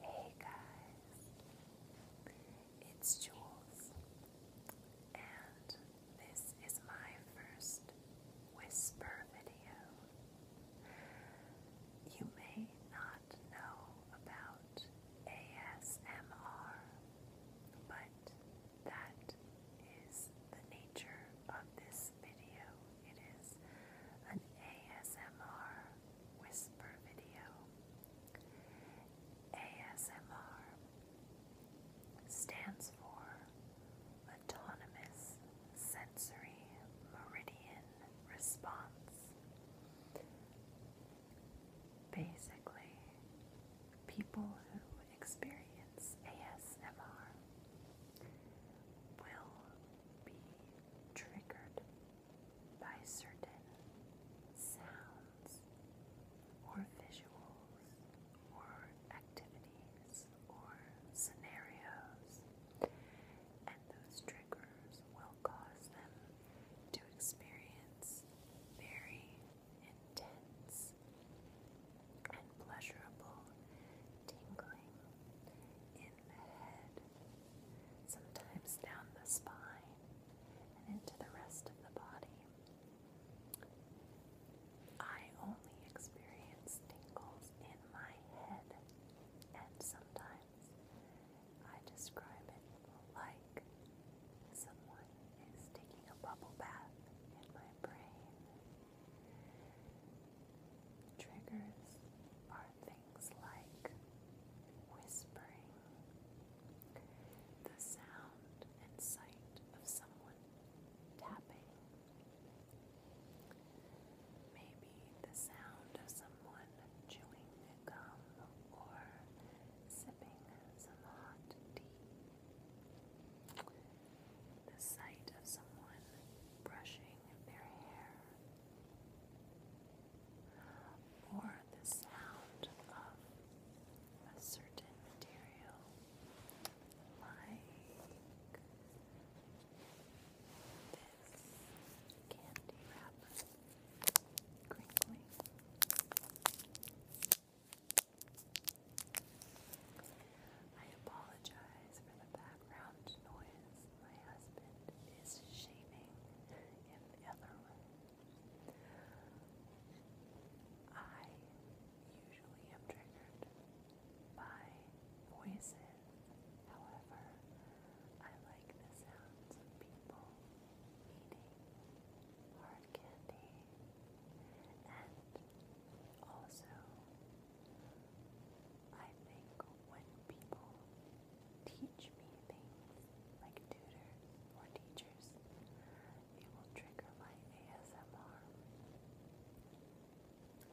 Hey guys, it's Jules, and this is my first whisper video. You may not know about ASMR, but that is the nature of this video. It is an ASMR whisper video. ASMR stands for Autonomous Sensory Meridian Response. Basically, people who experience ASMR will be triggered by certain sounds or visuals or activities or scenarios, and those triggers will cause them to experience very intense and pleasurable tingling in the head, sometimes down the spine and into the rest of the body. I only experience tingles in my head, and sometimes I describe it like like someone is taking a bubble bath in my brain. Triggers are things like whispering, the sound and sight of someone tapping. Maybe the sound of someone chewing or sipping some hot tea. The sight of someone brushing their hair, or the sound of a certain material, like candy wrapper crinkling. I apologize for the background noise. My husband is shaving in other room. I usually am triggered by voices. However, I like the sounds of people eating hard candy and also I think when people teach me things like tutors or teachers, it will trigger my ASMR.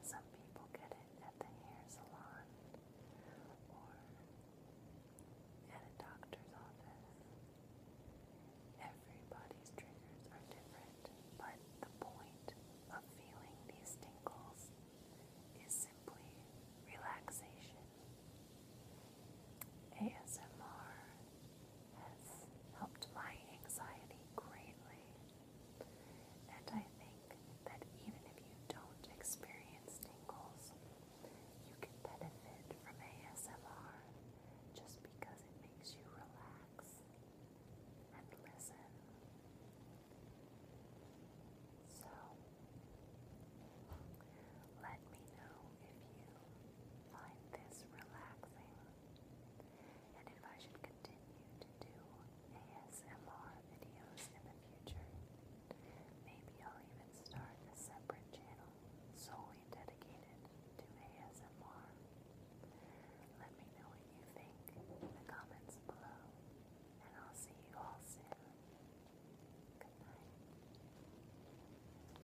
Some people get it at the hair salon or at a doctor's office. Everybody's triggers are different, but the point of feeling these tingles is simply relaxation. ASMR has helped my anxiety greatly. And I think that even if you don't experience tingles, you can benefit from ASMR just because it makes you relax and listen. So, let me know if you find this relaxing and if I should continue to do ASMR videos in the future, maybe I'll even start a separate channel solely dedicated to ASMR. Let me know what you think in the comments below, and I'll see you all soon. Good night.